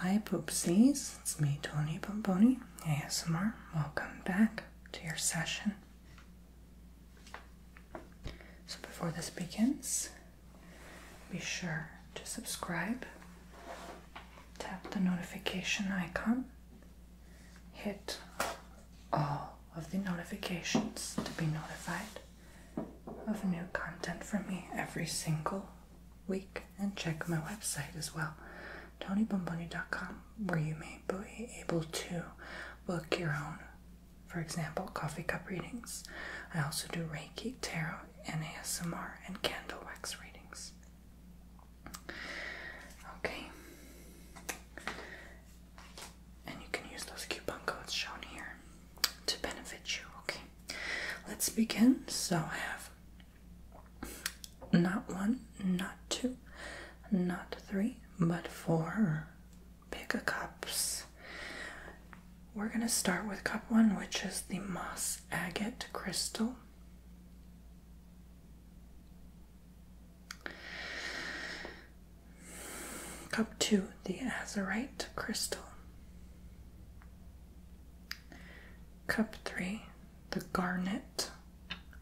Hi, poopsies. It's me, Tony Pomponi, ASMR. Welcome back to your session. So, before this begins, be sure to subscribe, tap the notification icon, hit all of the notifications to be notified of new content for me every single week. And check my website as well, tonybomboni.com, where you may be able to book your own, for example, coffee cup readings. I also do Reiki, Tarot, and ASMR and candle wax readings. Okay. And you can use those coupon codes shown here to benefit you. Okay, let's begin. So I have not one, not two, not three, but four pick big cups. We're gonna start with cup one, which is the moss agate crystal. Cup two, the azurite crystal. Cup three, the garnet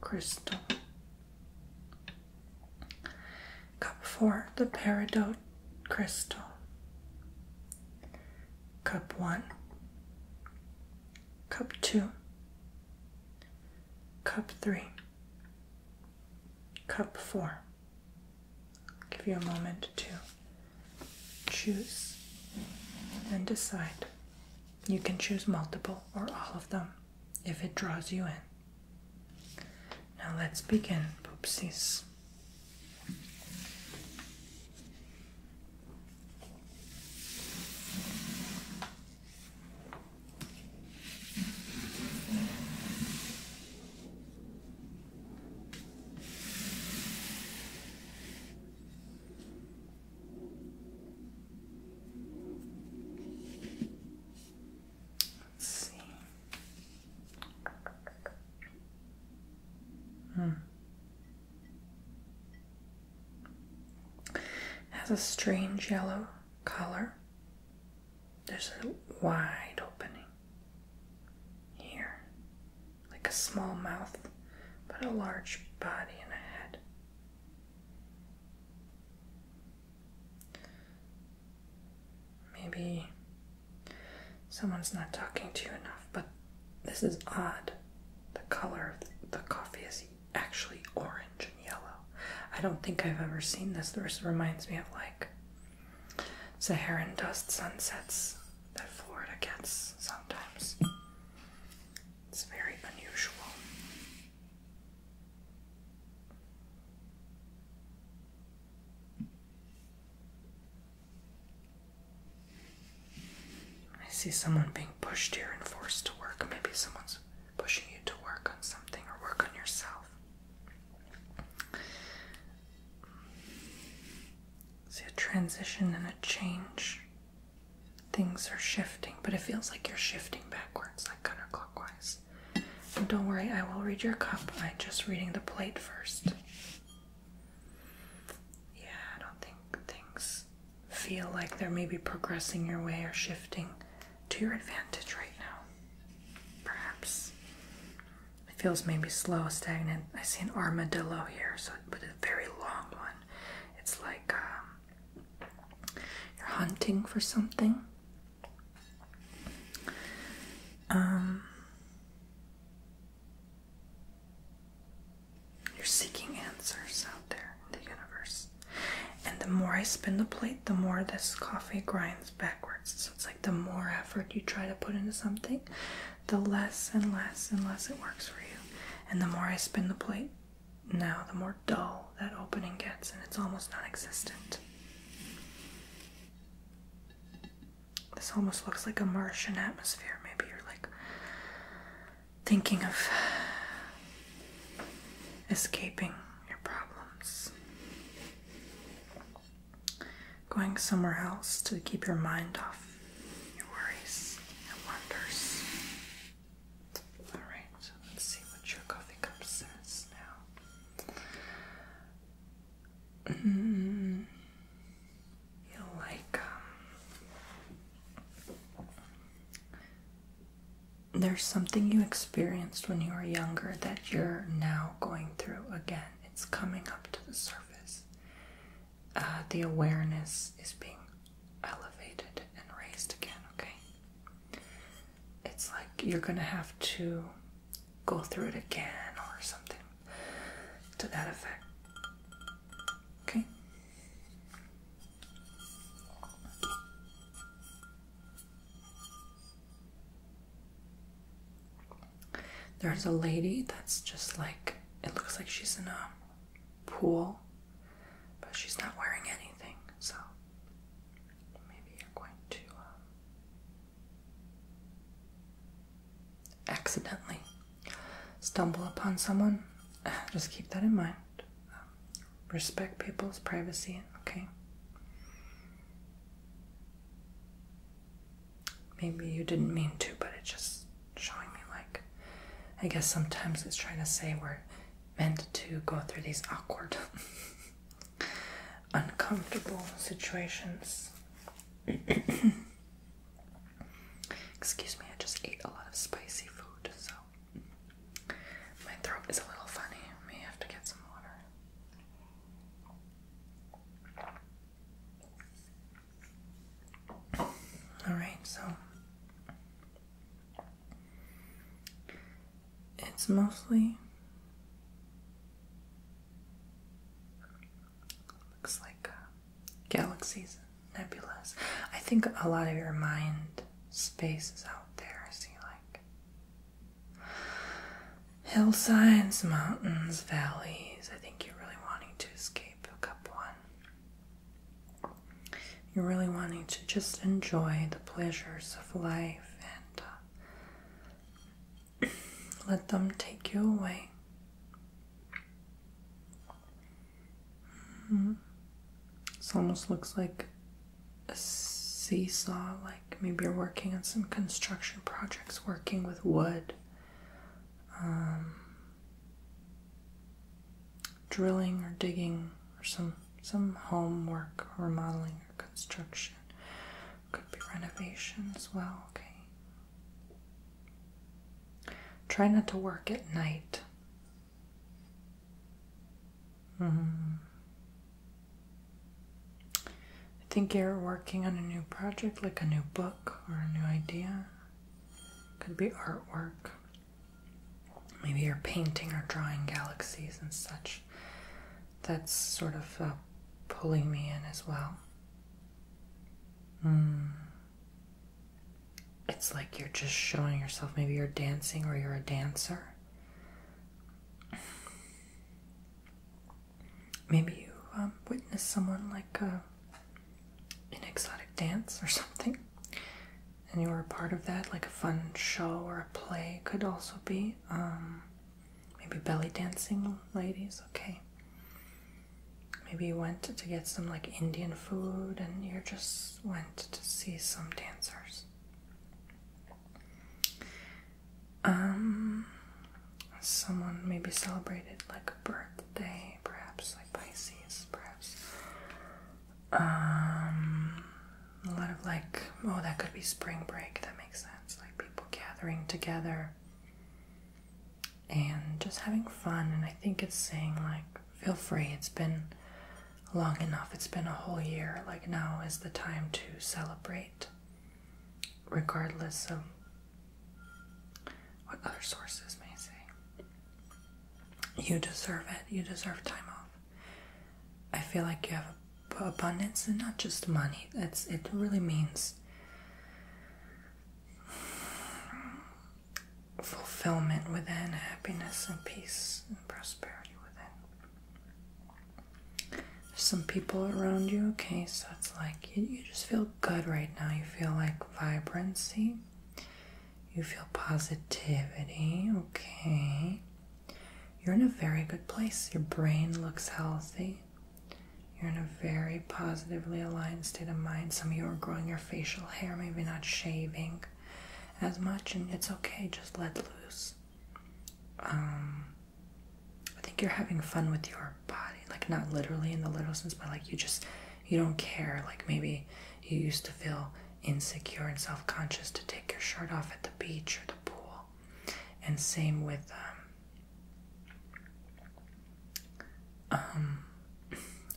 crystal. Cup four, the peridot crystal. Cup one, cup two, cup three, cup four. Give you a moment to choose and decide. You can choose multiple or all of them if it draws you in. Now let's begin, poopsies. Let's see. Hmm. has a strange yellow color. There's a wide opening here, like a small mouth, but a large body and a head. Maybe someone's not talking to you enough, but this is odd. The color of the coffee is actually orange and yellow. I don't think I've ever seen this. This reminds me of like Saharan dust sunsets that Florida gets sometimes. It's very unusual. I see someone being pushed here and forced to work. Maybe someone's pushing you to work on something or work on yourself. See a transition and a change. Things are shifting, but it feels like you're shifting backwards, like counterclockwise. don't worry, I will read your cup. I'm just reading the plate first. Yeah, I don't think things feel like they're maybe progressing your way or shifting to your advantage right now. Perhaps. It feels maybe slow, stagnant. I see an armadillo here, so but a very long one. It's like um, you're hunting for something. Um, you're seeking answers out there in the universe. And the more I spin the plate, the more this coffee grinds backwards. So it's the more effort you try to put into something, the less and less and less it works for you. And the more I spin the plate now, the more dull that opening gets, and it's almost non existent. This almost looks like a Martian atmosphere. Maybe you're like thinking of escaping your problems going somewhere else to keep your mind off your worries and wonders. Alright, so let's see what your coffee cup says now. Mm, mm-hmm. you like, um, there's something you experienced when you were younger that you're now going through again it's coming up to the surface. Uh, the awareness is being elevated and raised again, okay? It's like you're gonna have to go through it again or something to that effect, okay? There's a lady that's just like, it looks like she's in a pool, but she's not wearing anything, so maybe you're going to um, accidentally stumble upon someone. Just keep that in mind. Um, respect people's privacy, okay? maybe you didn't mean to, but it's just showing me like I guess sometimes it's trying to say we're meant to go through these awkward, uncomfortable situations. Excuse me, I just ate a lot of spicy food, so my throat is a little funny. I may have to get some water. All right, so it's mostly looks like uh, galaxies, nebulas. I think a lot of your mind space is out there. See, like Hillsides, mountains, valleys. I think you're really wanting to escape cup one. You're really wanting to just enjoy the pleasures of life and uh, let them take you away. Mm-hmm. This almost looks like a seesaw, like maybe you're working on some construction projects, working with wood, um, drilling or digging, or some some homework, remodeling or construction. Could be renovation as well. Okay. Try not to work at night. -hmm. I think you're working on a new project, like a new book or a new idea. Could be artwork. Maybe you're painting or drawing galaxies and such. That's sort of uh, pulling me in as well. Hmm. It's like you're just showing yourself. Maybe you're dancing or you're a dancer maybe you um, witnessed someone like uh, an exotic dance or something, and you were a part of that, like a fun show or a play could also be. Um, maybe belly dancing ladies, okay. Maybe you went to get some like Indian food and you just went to see some dancers. Um, someone maybe celebrated like a birthday, perhaps like Pisces, perhaps. Um, a lot of like, oh, that could be spring break. That makes sense. Like people gathering together and just having fun. And I think it's saying like, feel free. It's been long enough. It's been a whole year. Like now is the time to celebrate regardless of what other sources may say. You deserve it. You deserve time off. I feel like you have abundance and not just money. That's it really means fulfillment within, happiness and peace and prosperity within some people around you, okay, so it's like you, just feel good right now. You feel like vibrancy, you feel positivity, okay. You're in a very good place. Your brain looks healthy. You're in a very positively aligned state of mind. Some of you are growing your facial hair, maybe not shaving as much, and it's okay, just let loose. Um, I think you're having fun with your body, like not literally in the literal sense, but like you just you don't care. Like maybe you used to feel insecure and self-conscious to take your shirt off at the beach or the pool, and same with um, um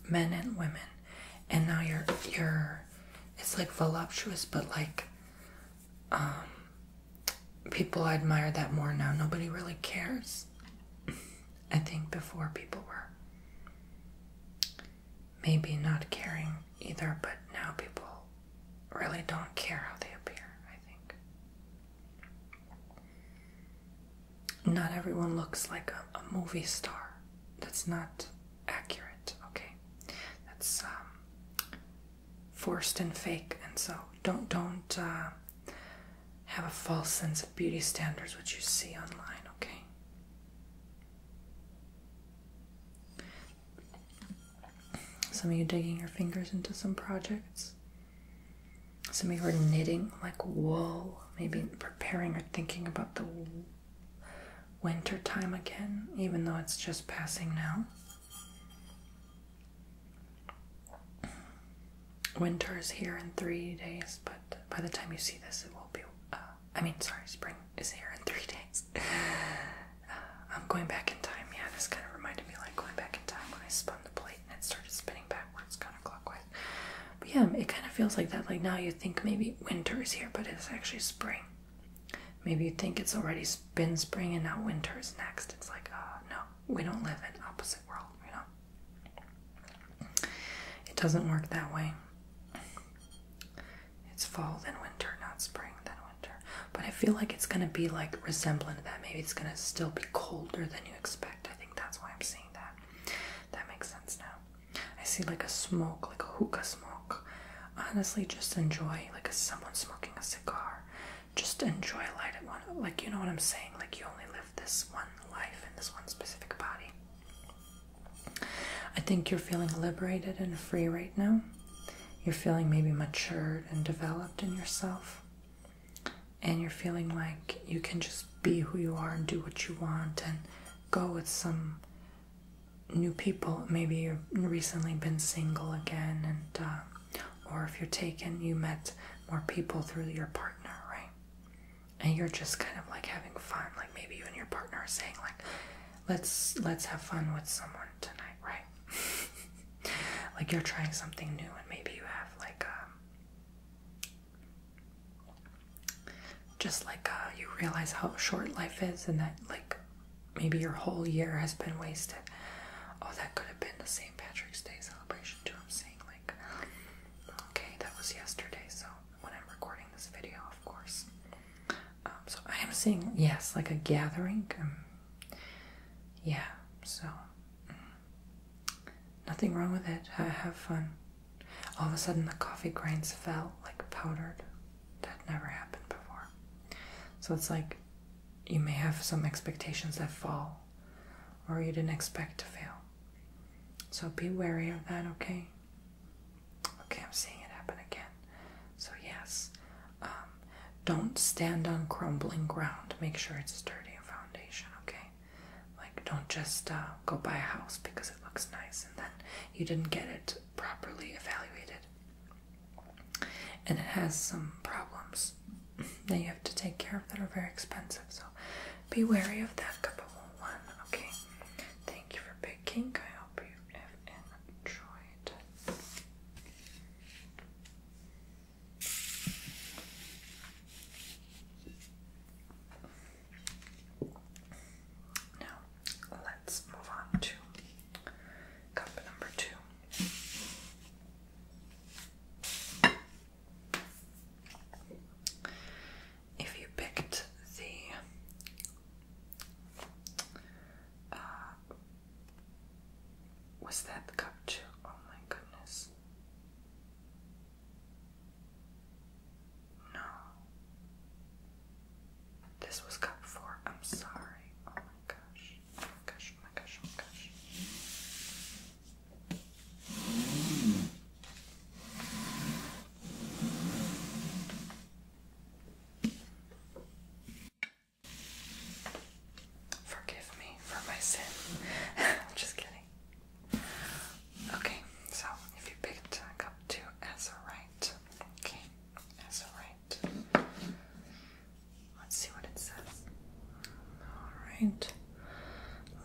men and women. And now you're you're it's like voluptuous, but like um, people admire that more now. Nobody really cares. I think before people were maybe not caring either, but now people really don't care how they appear, I think. Not everyone looks like a, movie star. That's not accurate, okay? That's um, forced and fake, and so don't don't uh, have a false sense of beauty standards which you see online. Okay. Some of you digging your fingers into some projects. Some of you are knitting like wool, maybe preparing or thinking about the winter time again, even though it's just passing now. Winter is here in three days, but by the time you see this, it will be. Uh, I mean, sorry, spring is here in three days. Uh, I'm going back in time. Yeah, this kind of reminded me like going back in time when I spun the plate and it started spinning backwards, counterclockwise. But yeah, it kind of feels like that. Like now you think maybe winter is here, but it's actually spring. Maybe you think it's already been spring and now winter is next. It's like, uh, no, we don't live in opposite world, you know? It doesn't work that way. It's fall, then winter, not spring, then winter. But I feel like it's gonna be like resembling that. Maybe it's gonna still be colder than you expect. I think that's why I'm seeing that. That makes sense now. I see like a smoke, like a hookah smoke. Honestly, just enjoy like someone smoking a cigar just enjoy life. Like, you know what I'm saying? Like, you only live this one life in this one specific body. I think you're feeling liberated and free right now. You're feeling maybe matured and developed in yourself. And you're feeling like you can just be who you are and do what you want and go with some new people. Maybe you've recently been single again and uh, or if you're taken, you met more people through your partner, right? And you're just kind of like having fun. Like maybe you and your partner are saying like, let's let's have fun with someone tonight, right? like you're trying something new and maybe you have like um, just like uh, you realize how short life is and that like Maybe your whole year has been wasted. Oh, that could have been the St. Patrick's Day celebration, too. I'm saying, like, okay, that was yesterday, so when I'm recording this video, of course. Um, so I am seeing, yes, like a gathering. Um, yeah, so mm, nothing wrong with it. Ha have fun. All of a sudden, the coffee grinds fell like powdered. That never happened before. So it's like you may have some expectations that fall or you didn't expect to fail. So be wary of that, okay? Okay, I'm seeing it happen again. So, yes, um, don't stand on crumbling ground. Make sure it's sturdy foundation, okay? Like, don't just uh, go buy a house because it looks nice and then you didn't get it properly evaluated and it has some problems that you have to take care of that are very expensive. So be wary of that couple one. Okay. Thank you for picking. I hope you have enjoyed. Now let's move on to Cup number two. If you picked the, uh, was that cup two? Oh my goodness. No. This was cup four. I'm sorry. Oh my gosh oh my gosh, oh my gosh, oh my gosh. Forgive me for my sin. I'm just kidding. Okay, so if you picked cup two as a right, okay, as a right. Let's see what it says. Alright.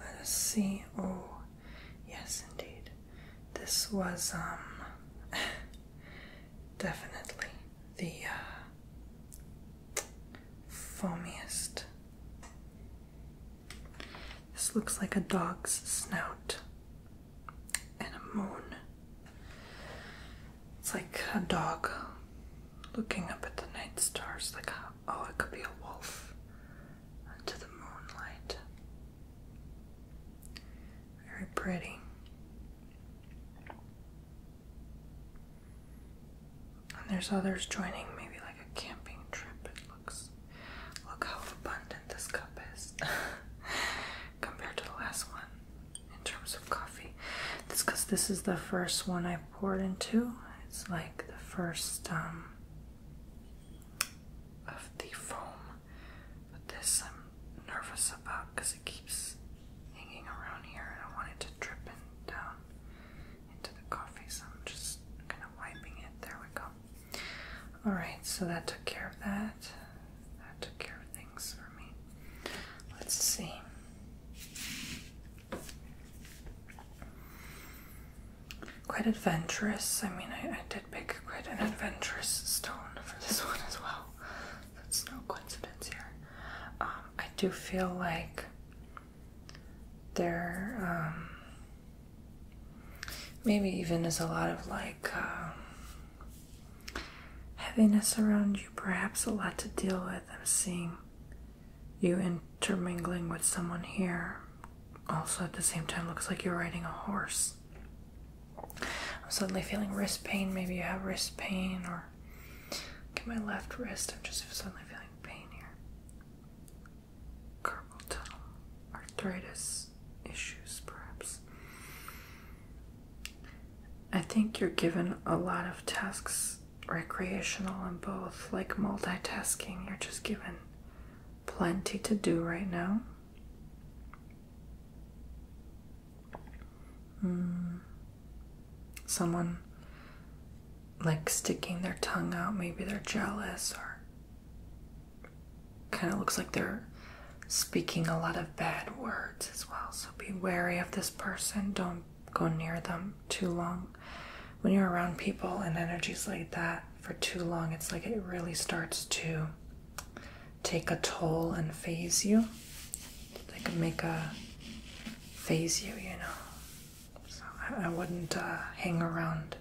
Let us see. Oh, yes, indeed. This was, um, definitely the uh, foamiest. This looks like a dog's snout and a moon it's like a dog looking up at the night stars, like, oh, it could be a wolf into the moonlight. Very pretty. And there's others joining, maybe like a camping trip. It looks, look how abundant this cup is compared to the last one in terms of coffee. this because this is the first one I poured into. It's like the first um, of the foam. But this I'm nervous about because it keeps hanging around here and I want it to drip down into the coffee. So I'm just kind of wiping it. There we go. Alright, so that took care of that that. took care of things for me. Let's see. Quite adventurous. I mean, I, did pick quite an adventurous stone for this one as well. That's no coincidence here. Um, I do feel like there um, maybe even is a lot of like um, Heaviness around you, perhaps a lot to deal with. I'm seeing you intermingling with someone here. Also, at the same time, looks like you're riding a horse. I'm suddenly feeling wrist pain. Maybe you have wrist pain, or look my left wrist. I'm just suddenly feeling pain here. Carpal tunnel, arthritis issues, perhaps. I think you're given a lot of tasks, recreational and both, like multitasking. You're just given plenty to do right now. Hmm. Someone like sticking their tongue out, maybe they're jealous or kind of looks like they're speaking a lot of bad words as well. So be wary of this person. Don't go near them too long. When you're around people and energies like that for too long, it's like it really starts to take a toll and phase you. Like make a phase you, you know. So I, wouldn't uh, hang around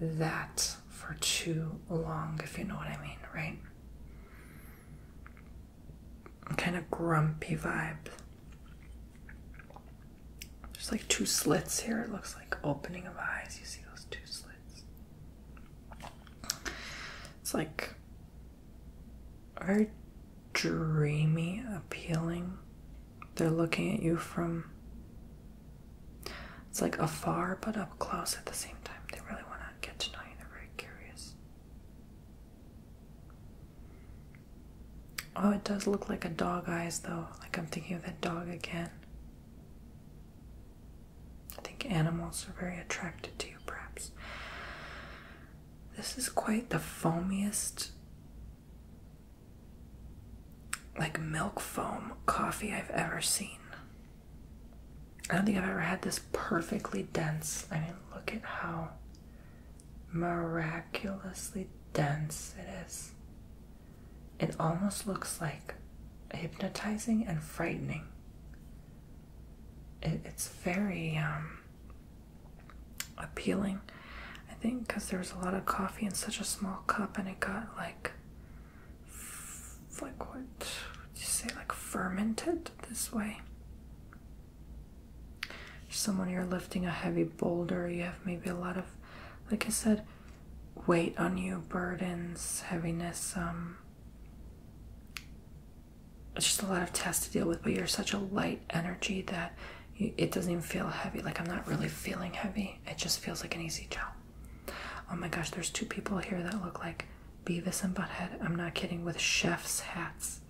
that for too long, if you know what I mean, right? kind of grumpy vibe. There's like two slits here. It looks like opening of eyes. You see those two slits? It's like very dreamy, appealing. They're looking at you from. It's like afar but up close at the same time. They really want to get to know you. They're very curious. Oh, it does look like a dog eyes though. Like I'm thinking of that dog again. I think animals are very attracted to you, perhaps. This is quite the foamiest, like milk foam coffee I've ever seen. I don't think I've ever had this perfectly dense. I mean, look at how miraculously dense it is. It almost looks like hypnotizing and frightening. it's very um, appealing, I think, because there was a lot of coffee in such a small cup, and it got like, like what? you say like fermented? this way. Someone you're lifting a heavy boulder, you have maybe a lot of, like I said, weight on you, burdens, heaviness, um, it's just a lot of tests to deal with, but you're such a light energy that it doesn't even feel heavy. Like I'm not really feeling heavy, it just feels like an easy job. Oh my gosh, there's two people here that look like Beavis and Butthead. I'm not kidding. With chef's hats,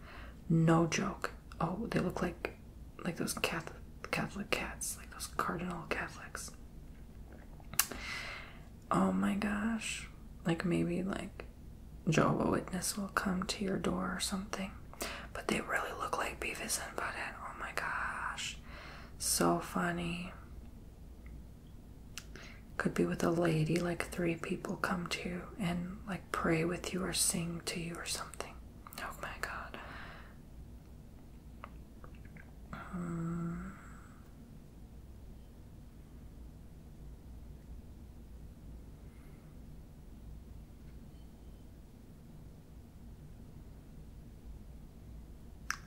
no joke. Oh, they look like like those Catholic Catholic cats, like those cardinal Catholics. Oh my gosh! Like maybe like Jehovah Witness will come to your door or something. But they really look like Beavis and Butthead. Oh my gosh! So funny. Could be with a lady, like three people come to and like pray with you or sing to you or something. Oh my god. Hmm.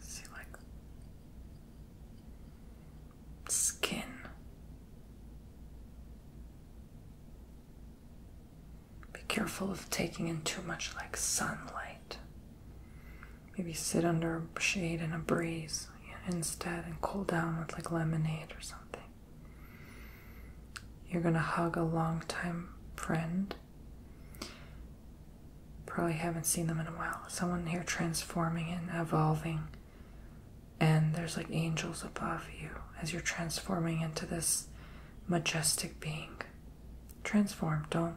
see like skin be careful of taking in too much like sunlight maybe sit under a shade and a breeze instead and cool down with like lemonade or something you're gonna hug a long time friend probably haven't seen them in a while someone here transforming and evolving and there's like angels above you as you're transforming into this majestic being. Transform, don't.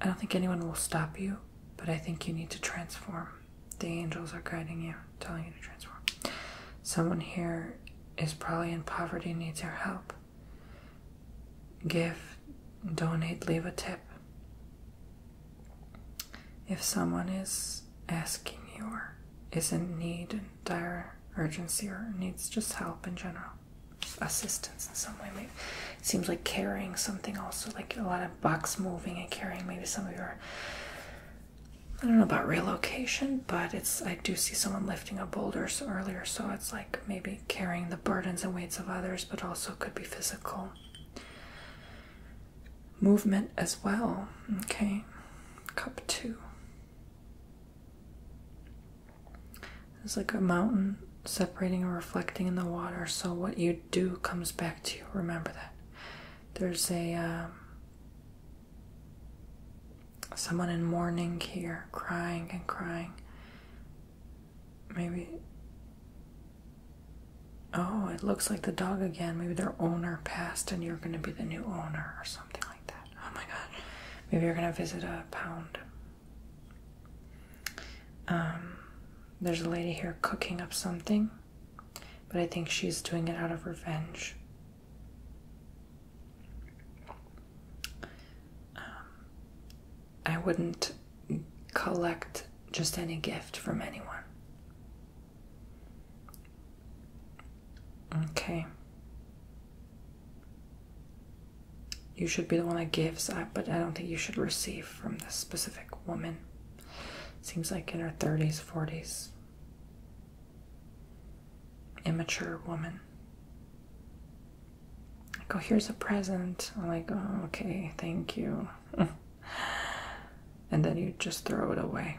I don't think anyone will stop you, but I think you need to transform. The angels are guiding you, telling you to transform. Someone here is probably in poverty, needs your help. Give, donate, leave a tip. If someone is asking you or is in need and dire urgency or needs just help in general, assistance in some way, seems like carrying something also, like a lot of box moving and carrying. Maybe some of your, I don't know about relocation, but it's I do see someone lifting a boulder earlier, so it's like maybe carrying the burdens and weights of others, but also could be physical movement as well. Okay, cup two. It's like a mountain separating or reflecting in the water, so what you do comes back to you. Remember that. There's a um, someone in mourning here, crying and crying. Maybe. Oh, it looks like the dog again. Maybe their owner passed and you're going to be the new owner or something like that. Oh my god. Maybe you're going to visit a pound. Um, there's a lady here cooking up something, but I think she's doing it out of revenge. Um, I wouldn't collect just any gift from anyone. Okay. You should be the one that gives, but I don't think you should receive from this specific woman. Seems like in her 30s, 40s. Immature woman. Like, oh, here's a present. I'm like, oh, okay, thank you. and then you just throw it away.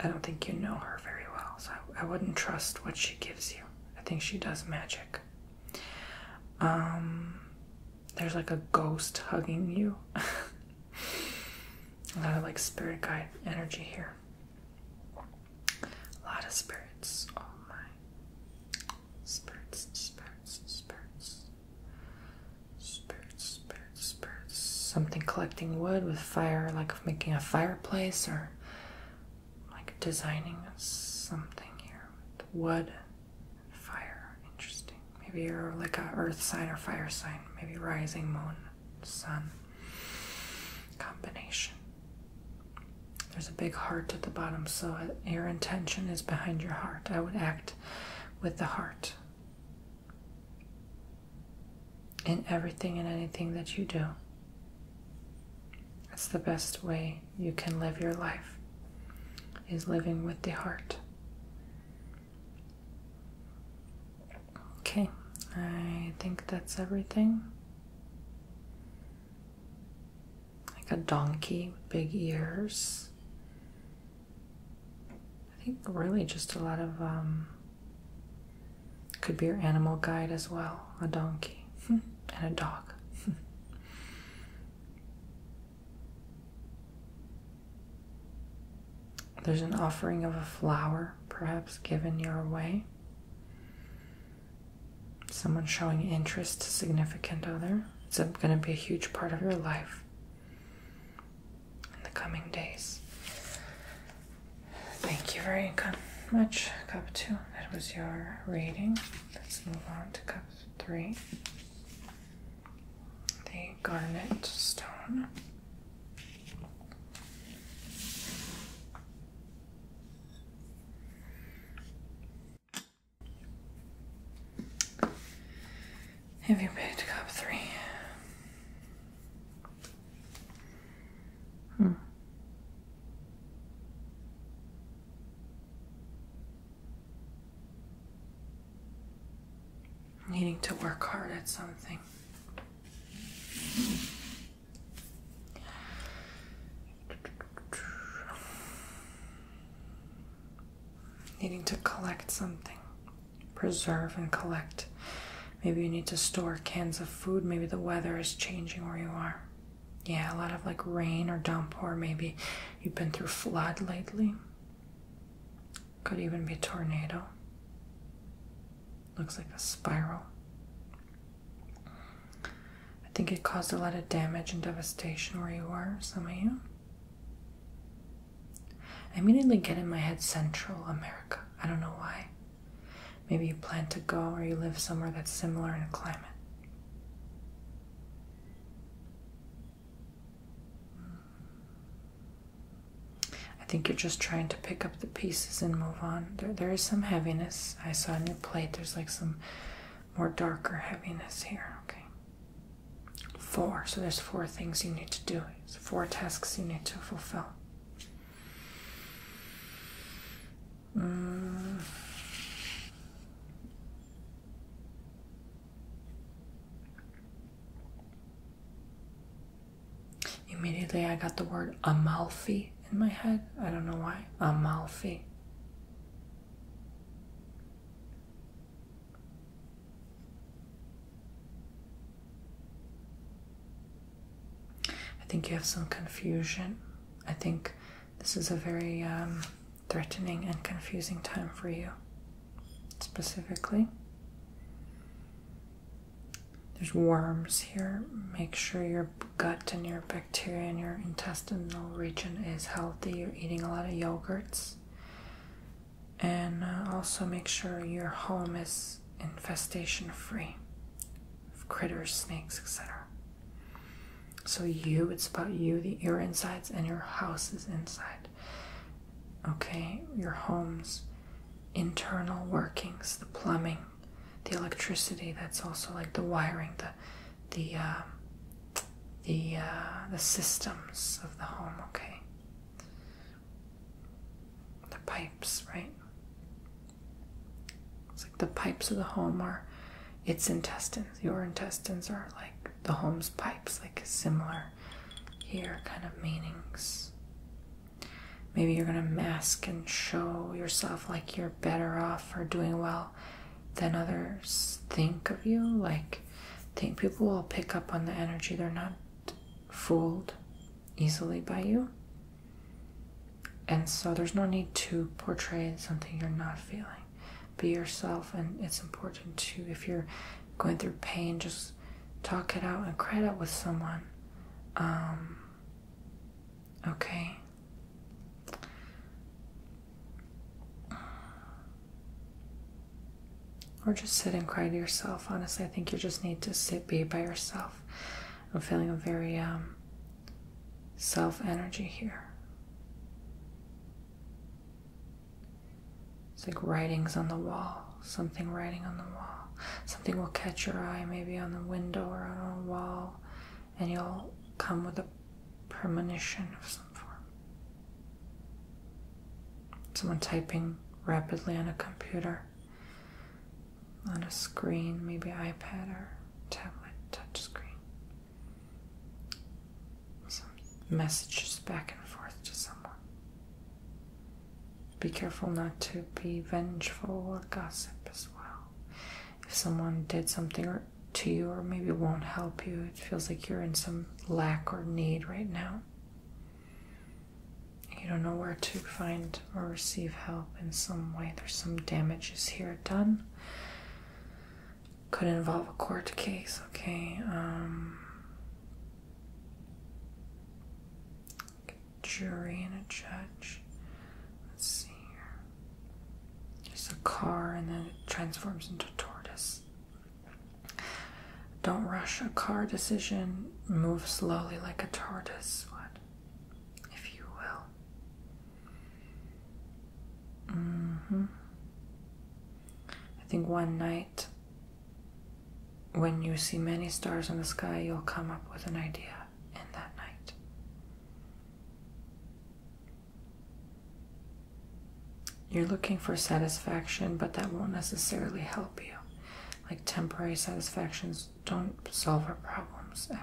I don't think you know her very well, so I wouldn't trust what she gives you. I think she does magic. Um, there's like a ghost hugging you. a lot of like spirit guide energy here. A lot of spirits. Oh my spurts, spurts, spurts, spurts, spurts, spurts. Something collecting wood with fire, like making a fireplace or like designing something here with wood and fire. Interesting. Maybe you're like a earth sign or fire sign. Maybe rising moon, sun combination. There's a big heart at the bottom, so uh, your intention is behind your heart. I would act with the heart in everything and anything that you do. That's the best way you can live your life, is living with the heart. Okay, I think that's everything like a donkey with big ears. I think really just a lot of um, could be your animal guide as well, a donkey and a dog. There's an offering of a flower, perhaps given your way someone showing interest significant other it's going to be a huge part of your life in the coming days thank you very much cup 2 that was your reading let's move on to cup 3 the garnet stone have you picked up three? Hmm. Needing to work hard at something. Needing to collect something, preserve and collect. Maybe you need to store cans of food. Maybe the weather is changing where you are. Yeah, a lot of like rain or downpour. Maybe you've been through flood lately. Could even be tornado. Looks like a spiral. I think it caused a lot of damage and devastation where you are, some of you. I immediately get in my head Central America. I don't know why. Maybe you plan to go or you live somewhere that's similar in climate. I think you're just trying to pick up the pieces and move on. There, there is some heaviness. I saw in your plate there's like some more darker heaviness here. Okay. Four. So there's four things you need to do. four tasks you need to fulfill. Mm. Immediately, I got the word Amalfi in my head. I don't know why. Amalfi. I think you have some confusion. I think this is a very um, threatening and confusing time for you, specifically. There's worms here. Make sure you're gut and your bacteria in your intestinal region is healthy, you're eating a lot of yogurts, and uh, also make sure your home is infestation free critters, snakes, etc. So, you, it's about you, the, your insides, and your house is inside. Okay, your home's internal workings, the plumbing, the electricity, that's also like the wiring, the the um, the uh, the systems of the home. Okay, the pipes, right? It's like the pipes of the home are its intestines. Your intestines are like the home's pipes, like similar here kind of meanings. Maybe you're gonna mask and show yourself like you're better off or doing well than others think of you. Like, think people will pick up on the energy. They're not fooled easily by you. And so there's no need to portray something you're not feeling. Be yourself, and it's important to, if you're going through pain, just talk it out and cry it out with someone. Um, okay? Or just sit and cry to yourself. Honestly, I think you just need to sit, be by yourself. I'm feeling a very um, self energy here. It's like writings on the wall, something writing on the wall. Something will catch your eye, maybe on the window or on a wall, and you'll come with a premonition of some form. Someone typing rapidly on a computer, on a screen, maybe iPad or tablet, touch screen. Some messages back and forth to someone. Be careful not to be vengeful or gossip as well if someone did something or to you or maybe won't help you. It feels like you're in some lack or need right now. You don't know where to find or receive help in some way. There's some damages here done. Could involve a court case, okay? Um, jury and a judge. Let's see here. There's a car and then it transforms into a tortoise. Don't rush a car decision. Move slowly like a tortoise. What? If you will. hmm. I think one night, when you see many stars in the sky, you'll come up with an idea in that night. You're looking for satisfaction, but that won't necessarily help you. Like temporary satisfactions don't solve our problems ever.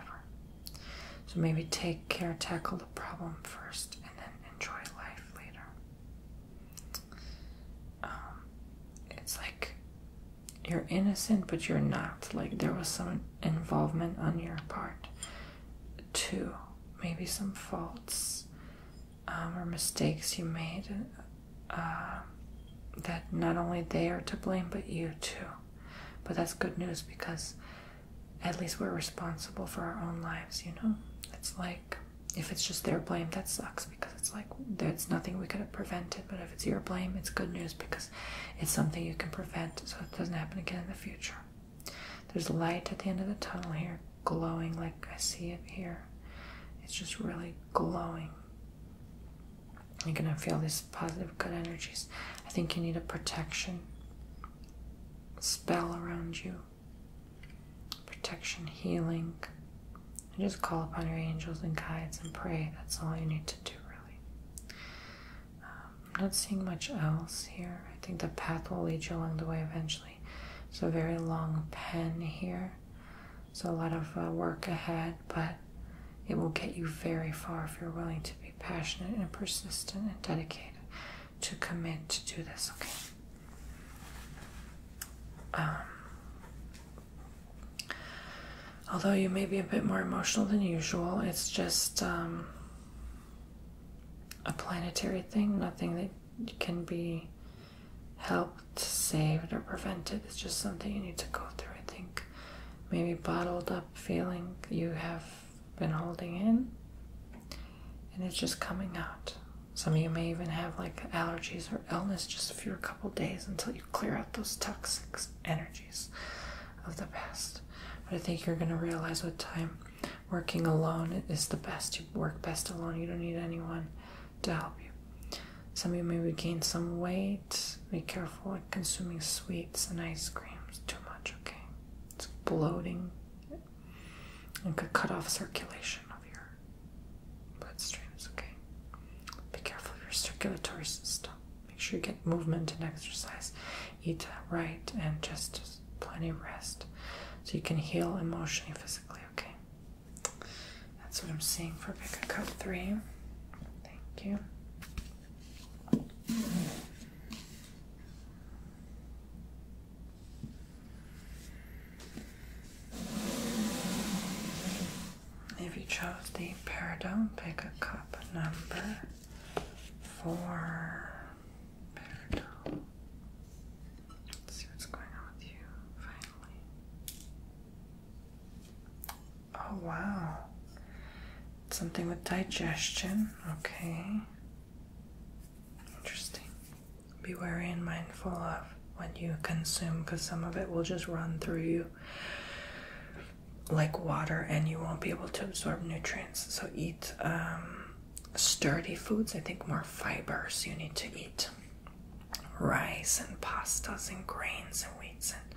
So maybe take care, tackle the problem first, and then enjoy life later. Um, it's like you're innocent, but you're not. Like there was some involvement on your part too. Maybe some faults um, or mistakes you made uh, that not only they are to blame, but you too. But that's good news because at least we're responsible for our own lives, you know? It's like if it's just their blame, that sucks because it's like there's nothing we could have prevented. But if it's your blame, it's good news because it's something you can prevent so it doesn't happen again in the future. There's light at the end of the tunnel here, glowing like I see it here. It's just really glowing. You're gonna feel these positive good energies. I think you need a protection spell around you. Protection, healing. just call upon your angels and guides and pray. That's all you need to do, really. I'm um, not seeing much else here. I think the path will lead you along the way eventually. It's a very long pen here, so a lot of uh, work ahead, but it will get you very far if you're willing to be passionate and persistent and dedicated to commit to do this, okay? Um, although you may be a bit more emotional than usual, it's just um, a planetary thing, nothing that can be helped, saved, or prevented. It's just something you need to go through, I think. Maybe bottled up feeling you have been holding in, and it's just coming out. Some of you may even have like allergies or illness just for a couple days until you clear out those toxic energy of the past. But I think you're going to realize with time working alone is the best. You work best alone. You don't need anyone to help you. Some of you may regain some weight. Be careful with consuming sweets and ice creams too much, okay? It's bloating and could cut off circulation of your blood bloodstreams, okay? Be careful your circulatory system make sure you get movement and exercise, eat right, and just, plenty of rest so you can heal emotionally, physically. Okay, that's what I'm saying for pick a Cup 3. Thank you. If you chose the Peridot, pick a cup number for see what's going on with you, finally. Oh, wow. Something with digestion. Okay. Interesting. Be wary and mindful of what you consume because some of it will just run through you like water and you won't be able to absorb nutrients. So eat um, sturdy foods, I think more fibers you need to eat. Rice and pastas and grains and wheats. And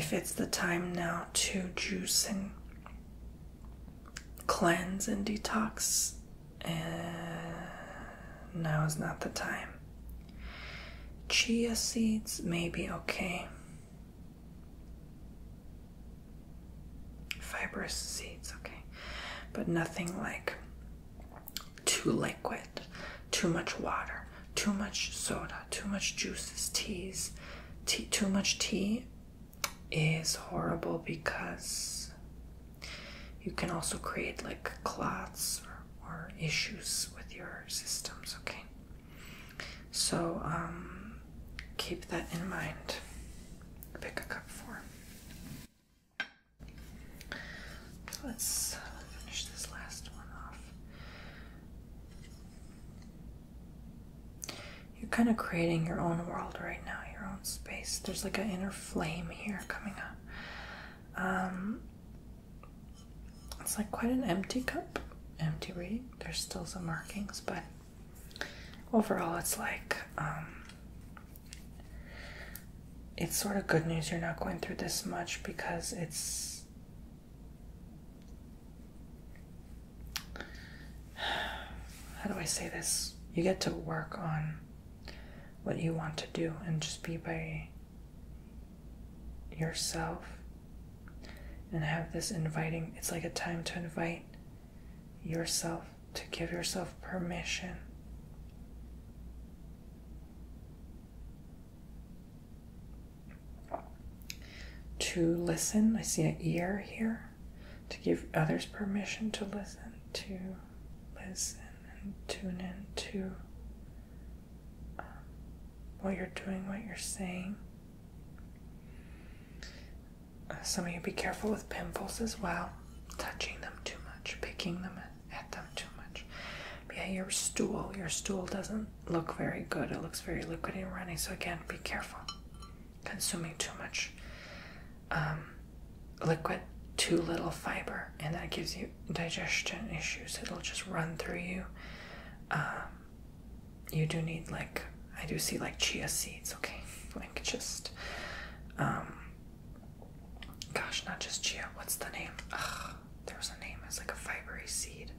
if it's the time now to juice and cleanse and detox, eh, now is not the time. Chia seeds may be okay. Fibrous seeds, okay. But nothing like too liquid, too much water, too much soda, too much juices, teas. Tea, too much tea is horrible because you can also create like clots or issues with your systems, okay? So um, keep that in mind. Pick a cup for. Let's finish this last one off. You're kind of creating your own world right now, your own space. There's like an inner flame here coming up. Um, it's like quite an empty cup, empty read. There's still some markings, but overall, it's like um, it's sort of good news you're not going through this much because it's how do I say this? You get to work on what you want to do and just be by yourself and have this inviting, it's like a time to invite yourself, to give yourself permission. To listen, I see an ear here, to give others permission to listen, to listen and tune in to what you're doing what you're saying. Uh, some of you be careful with pimples as well, touching them too much, picking them at them too much. yeah, your stool, your stool doesn't look very good. It looks very liquid and runny. So again, be careful consuming too much um, liquid, too little fiber, and that gives you digestion issues. It'll just run through you. Um, you do need like I do see like chia seeds, okay? Like just um gosh, not just chia. What's the name? Ugh, there's a name. It's like a fibery seed.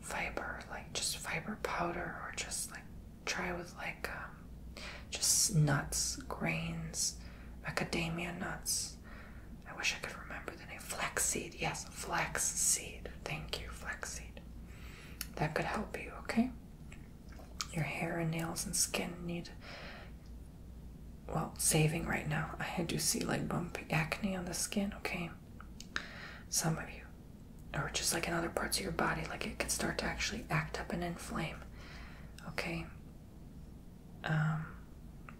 Fiber, like just fiber powder or just like try with like um, just nuts, grains, macadamia nuts. I wish I could remember the name. Flaxseed. Yes, flaxseed. Thank you, flaxseed. That could help you, okay? Your hair and nails and skin need, well, saving right now. I do see like bumpy acne on the skin, okay? Some of you, or just like in other parts of your body, like it can start to actually act up and inflame, okay? Um,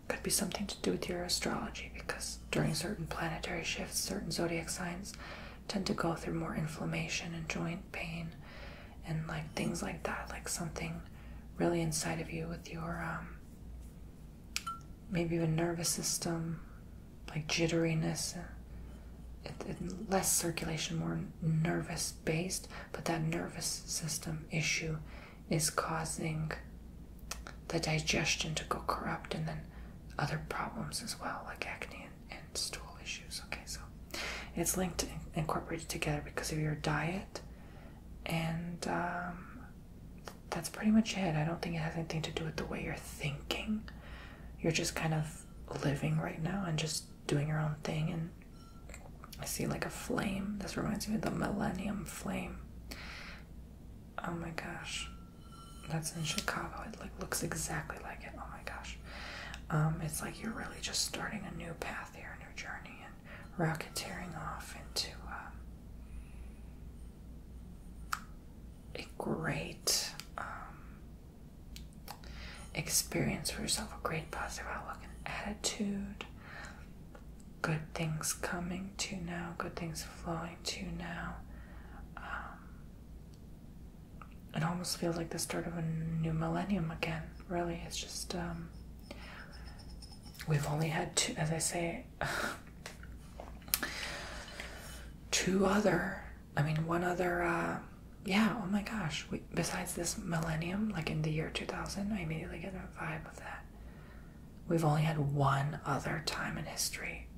could be something to do with your astrology because during certain planetary shifts, certain zodiac signs tend to go through more inflammation and joint pain and like things like that. Like something really inside of you with your um, maybe even nervous system, like jitteriness. Uh, less circulation, more nervous based, but that nervous system issue is causing the digestion to go corrupt and then other problems as well, like acne and, stool issues. Okay, so it's linked and incorporated together because of your diet, and um, that's pretty much it. I don't think it has anything to do with the way you're thinking. You're just kind of living right now and just doing your own thing. And I see like a flame. This reminds me of the Millennium Flame. Oh my gosh, that's in Chicago. It like looks exactly like it. Oh my gosh, um, it's like you're really just starting a new path here, a new journey, and rocketeering off into um, a great um, experience for yourself, a great positive outlook and attitude good things coming to now, good things flowing to now. Um, it almost feels like the start of a new millennium again. Really, it's just um, we've only had two, as I say, two other. I mean, one other. Uh, yeah. Oh my gosh. besides this millennium, like in the year two thousand, I immediately get a vibe of that. We've only had one other time in history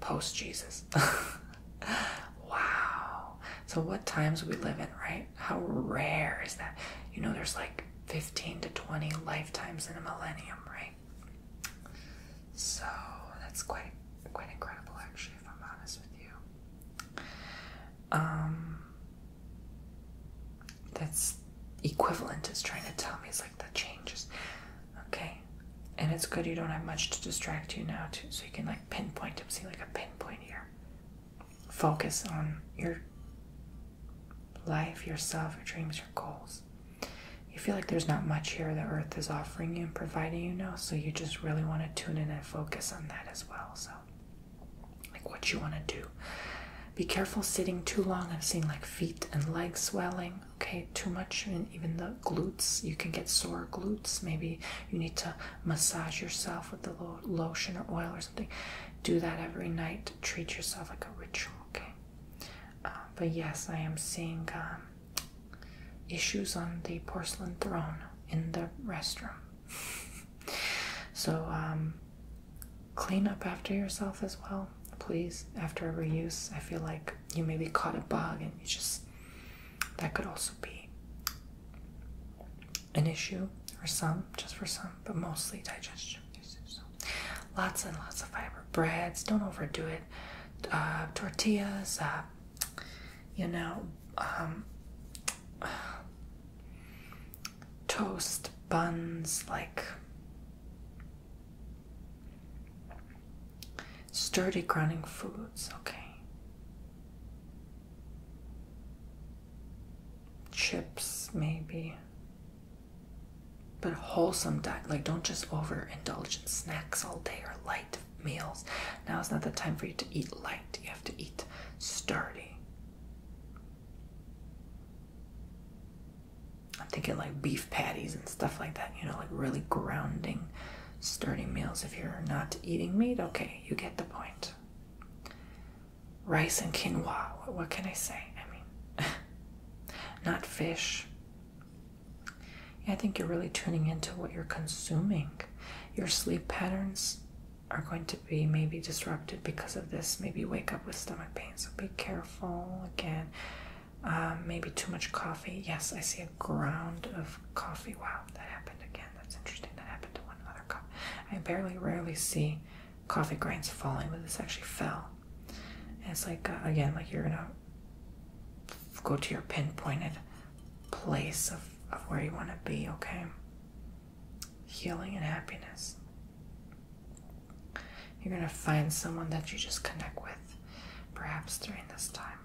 post Jesus. wow. So, what times we live in, right? How rare is that? You know, there's like 15 to 20 lifetimes in a millennium, right? So, that's quite, quite incredible, actually, if I'm honest with you. Um, that's equivalent is trying to tell me it's that changes. Okay, and it's good you don't have much to distract you now, too, so you can like pinpoint them. See, like a pinpoint here. Focus on your life, yourself, your dreams, your goals. You feel like there's not much here the earth is offering you and providing you now, so you just really want to tune in and focus on that as well. So, like what you want to do, be careful sitting too long. I've seen like feet and legs swelling. Okay, too much, and even the glutes. You can get sore glutes. Maybe you need to massage yourself with the lo lotion or oil or something. Do that every night. Treat yourself like a ritual. Okay, uh, but yes, I am seeing um, issues on the porcelain throne in the restroom. so um, Clean up after yourself as well, please. After every use, I feel like you maybe caught a bug and you just that could also be an issue for some, just for some, but mostly digestion lots and lots of fiber. Breads, don't overdo it. Uh, tortillas, uh, you know, um, toast, buns, like Sturdy growing foods, okay. Chips, maybe. But wholesome diet, like don't just overindulge in snacks all day or light meals. Now is not the time for you to eat light. You have to eat sturdy. I'm thinking like beef patties and stuff like that, you know, like really grounding, sturdy meals. If you're not eating meat, okay, you get the point. Rice and quinoa, what can I say? I mean, not fish. I think you're really tuning into what you're consuming. Your sleep patterns are going to be maybe disrupted because of this. Maybe wake up with stomach pain, so be careful careful again. Um, maybe too much coffee. Yes, I see a ground of coffee. Wow, that happened again. That's interesting. That happened to one other cup. I barely, rarely see coffee grains falling, but this actually fell. And it's like, uh, again, like you're gonna go to your pinpointed place of, of where you want to be, okay? Healing and happiness. You're going to find someone that you just connect with, perhaps during this time.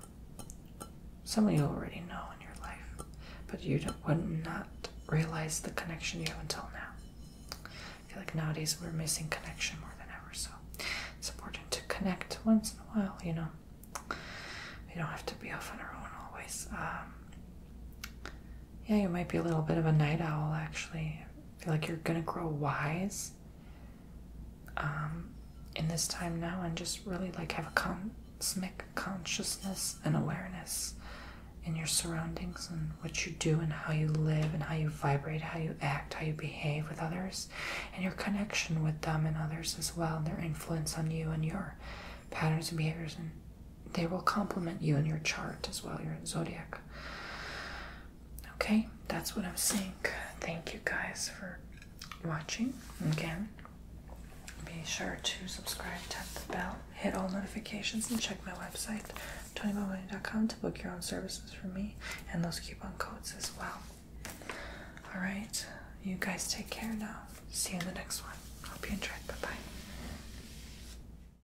Someone you already know in your life, but you would not realize the connection you have until now. I feel like nowadays we're missing connection more than ever, so it's important to connect once in a while, you know. We don't have to be off on our own always. Um, yeah, you might be a little bit of a night owl, actually feel like you're gonna grow wise um, in this time now and just really like have a cosmic consciousness and awareness in your surroundings and what you do and how you live and how you vibrate, how you act, how you behave with others, and your connection with them and others as well, and their influence on you and your patterns and behaviors and they will complement you in your chart as well, your zodiac. Okay, that's what I'm saying. Thank you guys for watching again. Be sure to subscribe, tap the bell, hit all notifications, and check my website, tonybomoney.com, to book your own services for me and those coupon codes as well. All right, you guys take care now. See you in the next one. Hope you enjoyed. Bye bye.